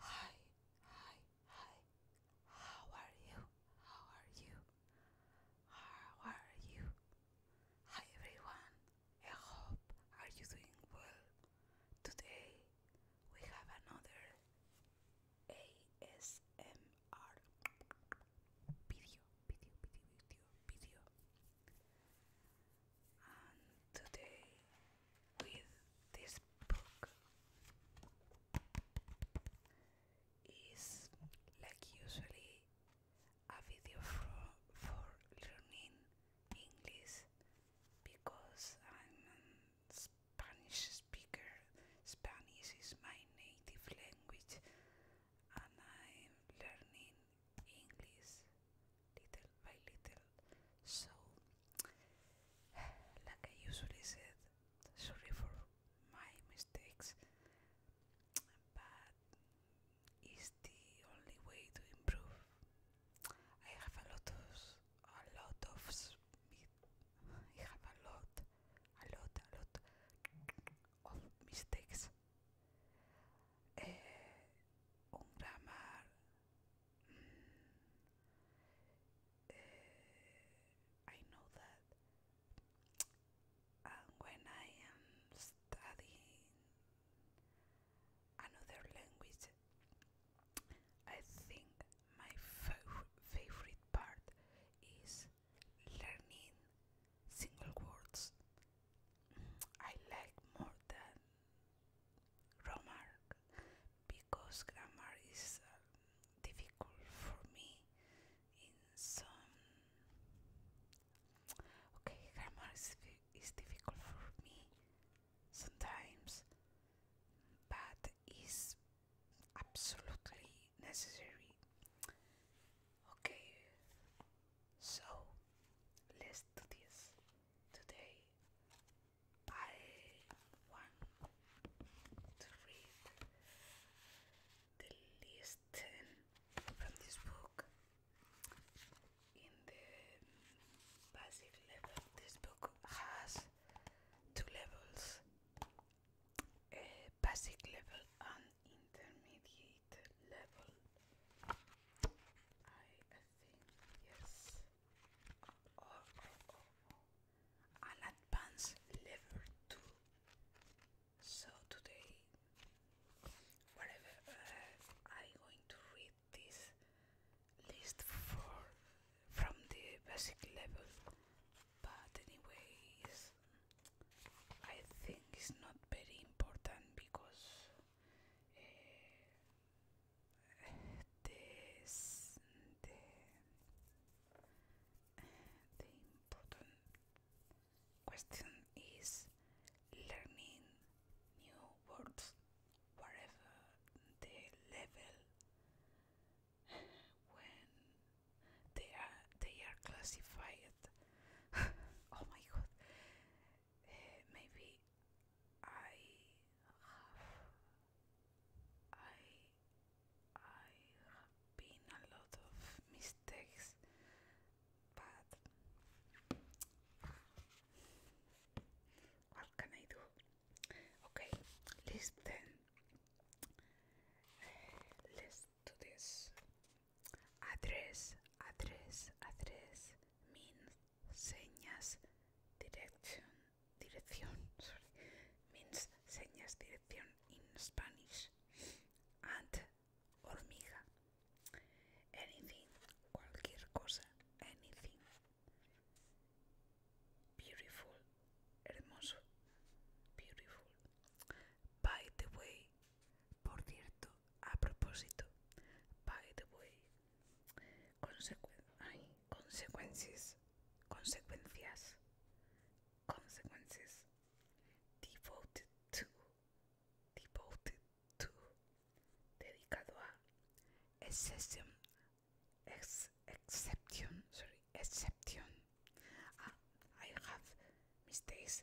Hi, hi, hi. How are you? How are you? How are you? Hi everyone. I hope are you doing well. Today we have another ASMR video, today with this book is like usually a video for, for learning English because I'm a Spanish speaker. Spanish is my native language and I'm learning English little by little. So, like I usually said, sorry for my mistakes, but it's the only way to improve. I have a lot of a lot of I have a lot, a lot, a lot of mistakes. Eh, mm, eh, I know that uh, when I am studying another language I think my favorite part is learning single words I like more than grammar because grammar is uh, difficult for me in some okay grammar is, is difficult for me sometimes but is absolutely necessary okay so let's do this today. I want to read the list from this book in the basic level. This book has two levels a basic level and intermediate weight level. I, think yes. An advanced level too. So today, whatever uh, I'm going to read this list for from the basic level. But anyway, I think it's not very important because eh, this, the the important question is learning new words whatever the level when they are they are classified oh my god maybe I have I I been a lot of mistakes but what can I do? Okay, listen. Uh, listen to this. Address, address, address means señas direction, dirección, sorry, means señas dirección in Spanish. And hormiga, anything, cualquier cosa, anything. Beautiful, hermoso, beautiful. By the way, Por cierto, a propósito, by the way. consecuencias, consecuencias, consecuencias. Devoted to, devoted to, dedicado a exception, exception, sorry, exception. Ah, I have mistakes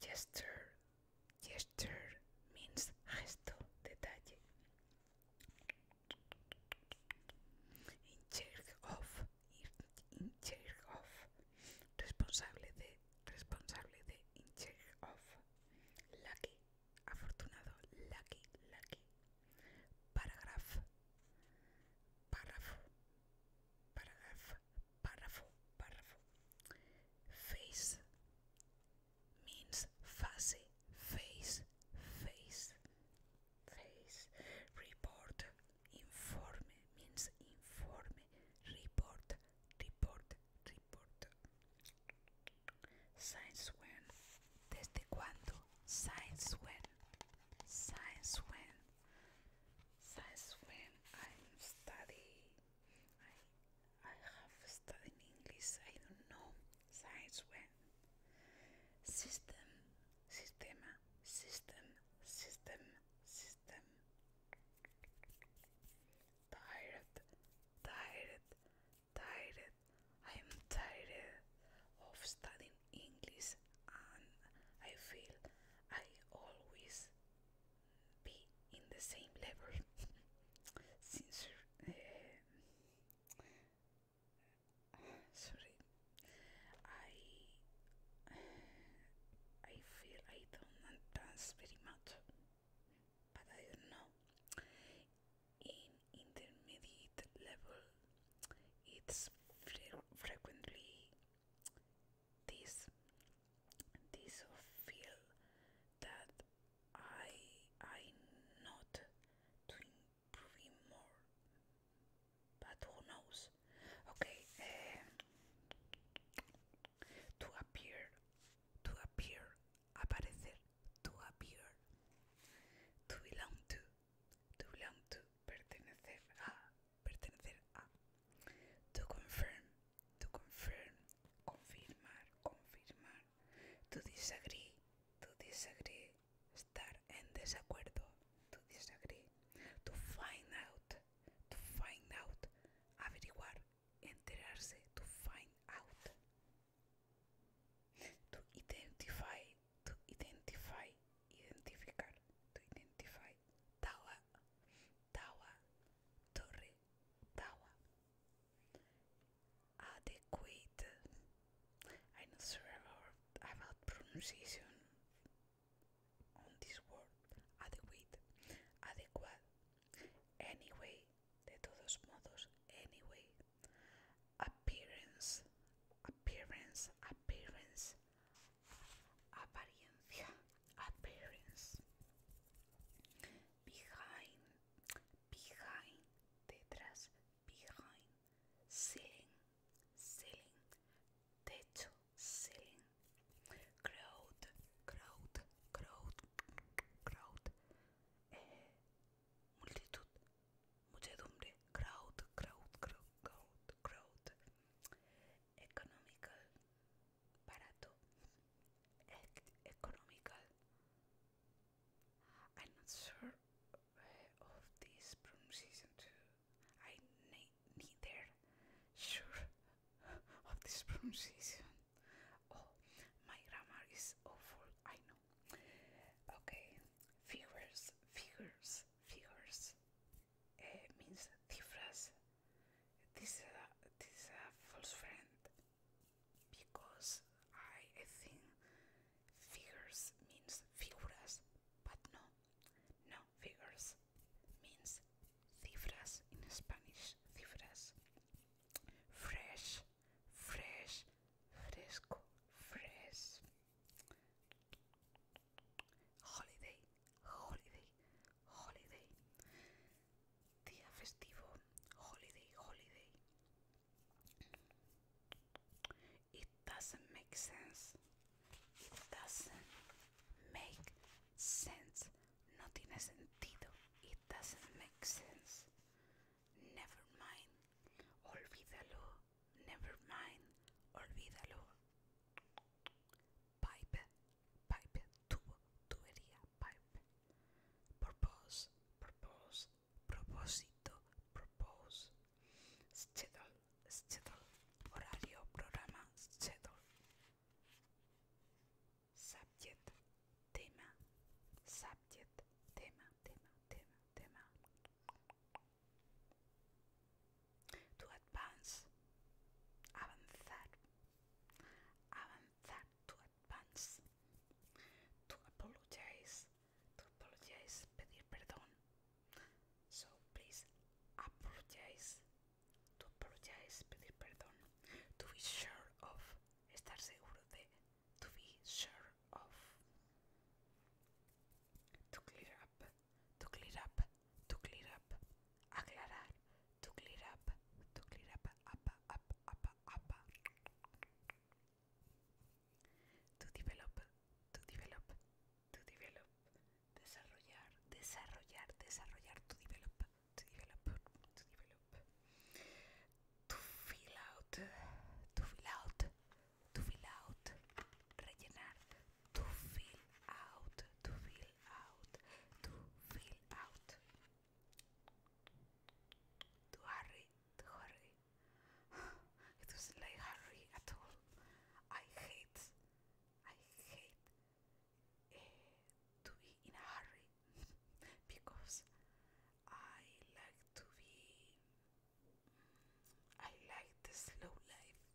Gesture. Gesture means gesto, detalle. In charge of. In charge of. Responsable de. Responsable de. In charge of. Lucky. Afortunado. Lucky. Lucky. Paragraph. Paragraph. Paragraph. párrafo, párrafo. Face means face, face, face, face. Report, informe means informe. Report, report, report. Since when? Desde cuándo? Since when? Since when? Since when I'm studying I I have studied English. I don't know since when. System, sistema, system, system, system. Tired, tired, tired. I am tired of studying English, and I feel I always be in the same level since uh, sorry I I feel I don't dance very much but I don't know in intermediate level it's very frequently this this feel that I I not improving more but who knows okay eh, to appear to appear aparecer to appear to belong to to belong to pertenecer pertenecer a. To confirm, to confirm, confirmar, confirmar. To disagree, to disagree, estar en desacuerdo. To disagree. To find out, to find out, averiguar, enterarse, to find out. To identify, to identify, identificar, to identify. Tawa, Torre Tawa. Adequate. I'm not sure about pronunciation on this word. Adequate. Adequate. Anyway, de todos modos, anyway. Appearance, appearance, appearance, apariencia appearance behind behind detrás behind ceiling ceiling techo ceiling crowd crowd crowd crowd eh, multitud muchedumbre crowd crowd crowd crowd economical barato economical I'm not sure eh, of this pronunciation too I neither sure of this pronunciation oh my grammar is awful I know okay figures figures figures eh, means difference. This is a, this is a false friend because I, I think figures means figuras, but no, no figures means cifras in Spanish. Cifras. Fresh, fresh, fresco, fresh. Holiday, holiday, holiday. Día festivo, holiday, holiday. It doesn't make sense. It doesn't make sense. No tiene sentido. It doesn't make sense. Never mind. Olvídalo. Never mind. Olvídalo. pipe, pipe, tubo, tubería, pipe. Propose, propose, propósito, propose. Schedule, schedule, horario, programa, schedule. Subject, tema, subject, tema, tema, tema, tema to advance, avanzar, avanzar, to advance, to apologize, to apologize, pedir perdón. So please apologize, to apologize, pedir perdón, to be sure of, estar seguro de, to be sure of, to clear up, to clear up, to clear up, aclarar, to clear up, to clear up, up, up, up, to develop, to develop, to develop, desarrollar, desarrollar, desarrollar, to develop, to develop, to develop, to fill out, to fill out, to fill out, rellenar, to fill out, to fill out, to fill out, to hurry, to hurry. it was like hurry at all. I hate, I hate eh, to be in a hurry because I like to be. I like the slow life.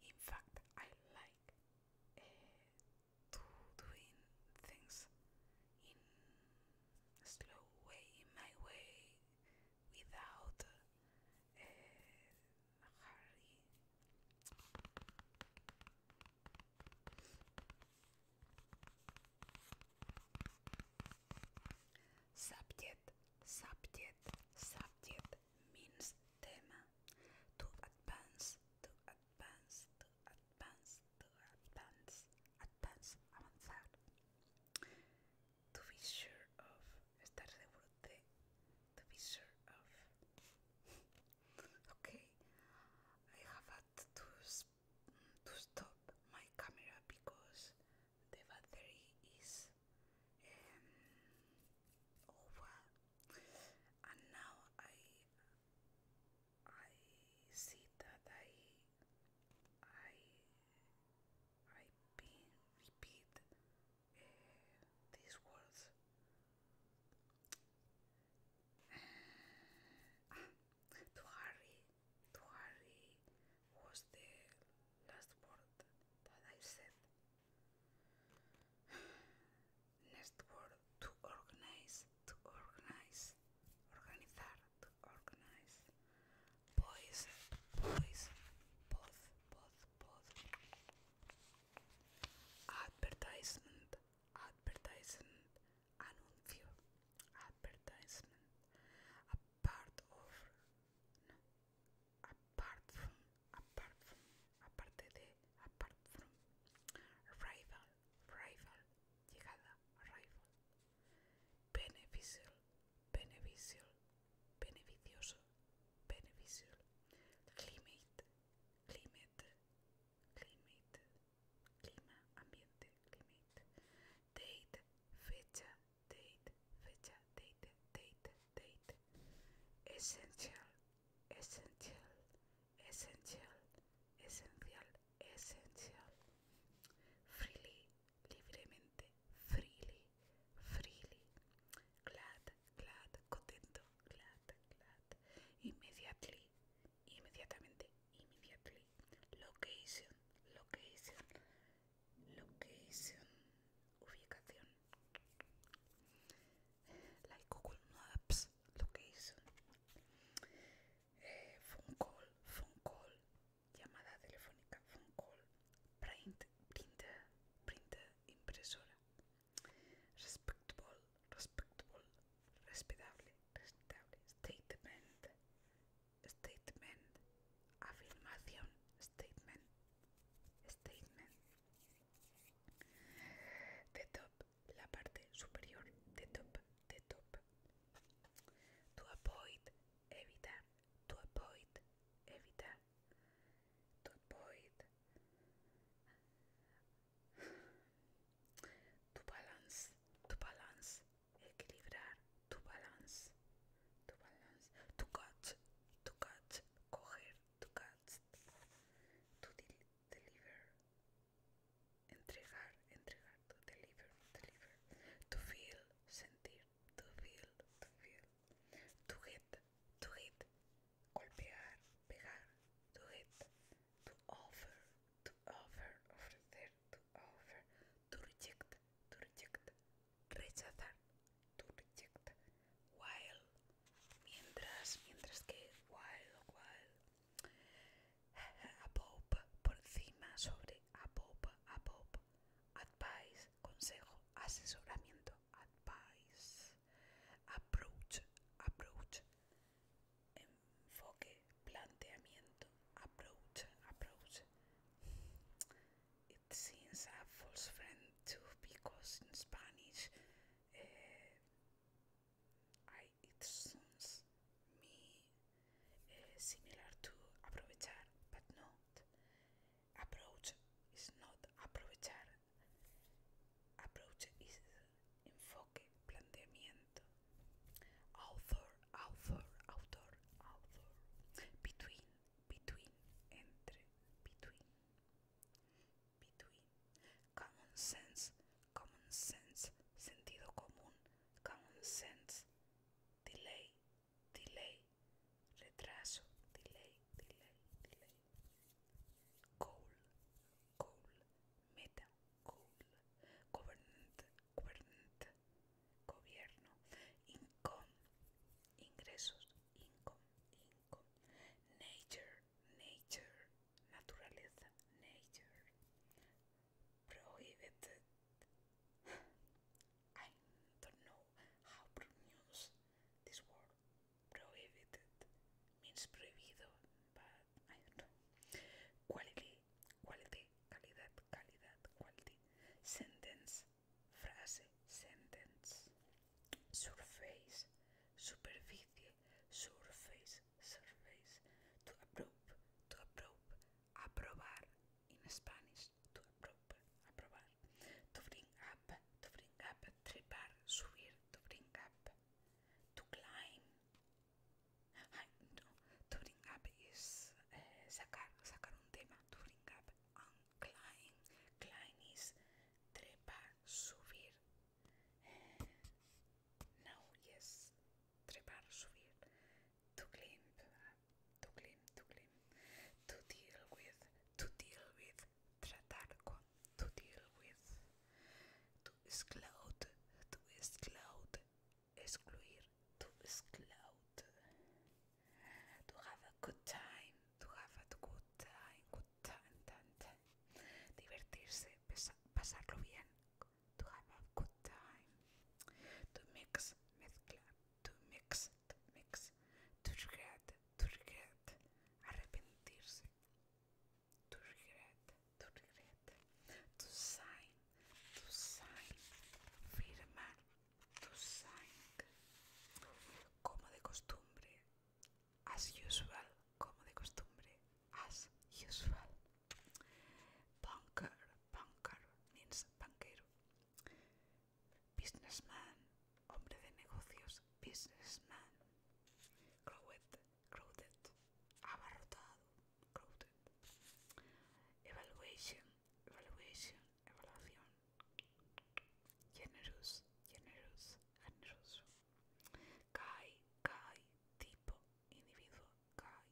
In fact, I like to uh, doing things in slow way, my way, without uh, hurry. Subject, subject, subject, means tema to advance, to advance, to advance, to advance, advance, avanzar. To be sure of, estar seguro de, to be sure of. okay, I have had to, to stop my camera because the battery is um, over and now I I see that I I I been repeat uh, these words to Harry to Harry was the last word that I said. Next word to organize, to organize, organizar, to organize. Boys, boys, both, both, both. Advertisement, advertisement, anuncio, advertisement part of no apart from apart from aparte de apart from rival rival llegada rival beneficial beneficial beneficioso beneficial climate climate climate clima ambiente climate date fecha date, fecha, date, date, date, essential, essential, essential, esencial, esencial, freely, libremente, freely, freely, glad, glad, contento, glad, glad, immediately, immediatamente, immediately, location, location, Location, ubicación. Like Google Maps, location. Eh, phone call, phone call, llamada telefónica, phone call, print, printer, printer, impresora. Respectable, respectable, respetable, respetable. Statement, statement, afirmación, Statement. Statement. The top. La parte superior. The top. The top. To avoid. Evitar. To avoid. Evitar. To avoid. To balance. To balance. Equilibrar. To balance, to balance, to cut, to cut, coger, tu cut, to deliver, entregar, entregar, to deliver, deliver, to feel, to feel, to feel, to hit, to hit, to pegar, to hit, to offer, to offer, ofrecer, to offer, to reject, to reject, rechazar, while, mientras, mientras que, while, while, above, por encima, sobre, above, above, advice, consejo, asesoramiento, advice, approach, approach, enfoque, planteamiento, approach, approach, it seems a false friend too because in Spanish eh, it sounds me eh, similar to aprovechar but not approach is not aprovechar approach is enfoque planteamiento author author author author between between, entre, between, between, common sense, common sense, sentido común, common sense, delay, delay, retraso, delay, delay, delay, goal, goal, meta, goal, government, government, gobierno, income, ingresos, income, income, nature, nature, naturaleza, nature, prohibited. I don't know how to pronounce this word. Prohibited means prohibido, but I don't know. Quality, quality, calidad, calidad, quality. Sentence, Phrase sentence, surface, superficie, surface, surface, to approve, to approve, aprobar in Spanish, to approve, aprobar, to bring up, to bring up, trepar, subir, to bring up, to climb, no, to bring up is eh, sacar, sacar un tema, to bring up, Uncline. Klein is trepar, subir. No, yes. Trepar, subir. To climb. To climb, to climb. To deal with. To deal with. Tratar con. To deal with. To exclude. To exclude. Excluir to cloud, to have a good time, to have a good time, good time, time, time. divertirse, pesa, pasarlo bien, to have a good time, to mix, mezclar, to mix, to mix, to regret, to regret, arrepentirse, to regret, to regret, to sign, to sign, firmar, to sing como de costumbre as usual como de costumbre as usual banker banker means banquero businessman hombre de negocios businessman crowded crowded abarrotado crowded evaluation evaluation evaluación. Generous, generous, generoso. Kai, Kai, tipo, individuo, Kai.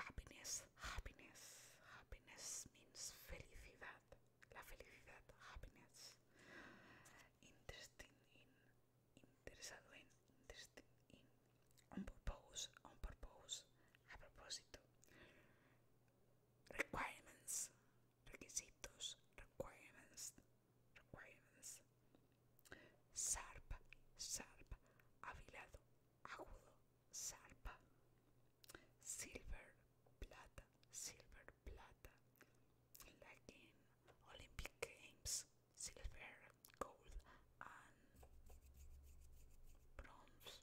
Happiness, happiness, happiness means felicidad. La felicidad, happiness. Interesting in interesado en, in, on purpose, on purpose, a propósito. Requirements, requisitos, requirements, requirements. Sharp, sharp, Avilado agudo, sharp. Silver, plata, silver, plata. Like Olympic Games, silver, gold, and bronze.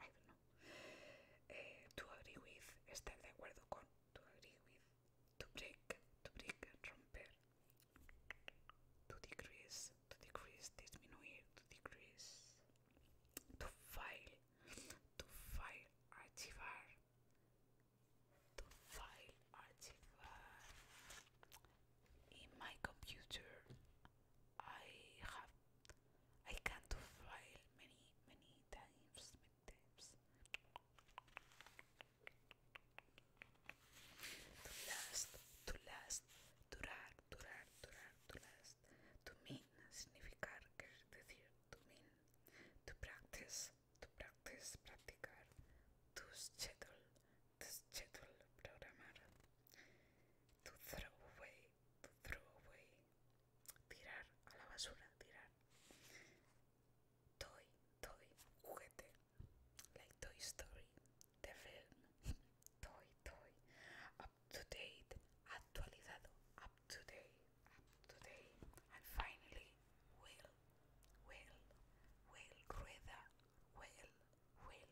I don't know. Eh, to agree with, estar de acuerdo con, to agree with, to break, to break, romper, to decrease, to decrease, disminuir, to decrease, to file, to file, archivar, to file archive in my computer I have I can do file many many times many times to last to last to last to mean significar que es decir to mean to practice to practice, practicar, to schedule, to schedule, programar, to throw away, to throw away, tirar a la basura, tirar, toy, toy, juguete, like Toy Story, the film, toy, toy, up to date, actualizado, up to date, up to date, and finally, will. well, well, rather, well, well.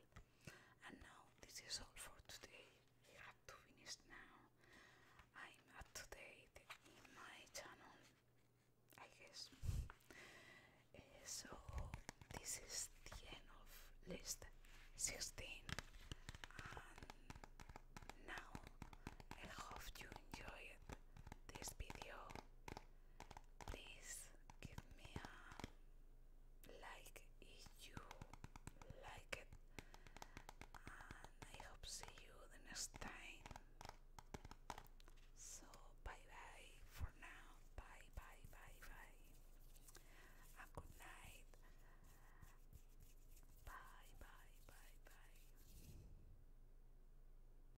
And now this is all for today. I have to finish now. I'm up to date in my channel, I guess. so this is the end of list 16 and now I hope you enjoyed this video please give me a like if you like it and I hope see you the next time so bye bye for now bye bye bye bye and good night bye bye bye bye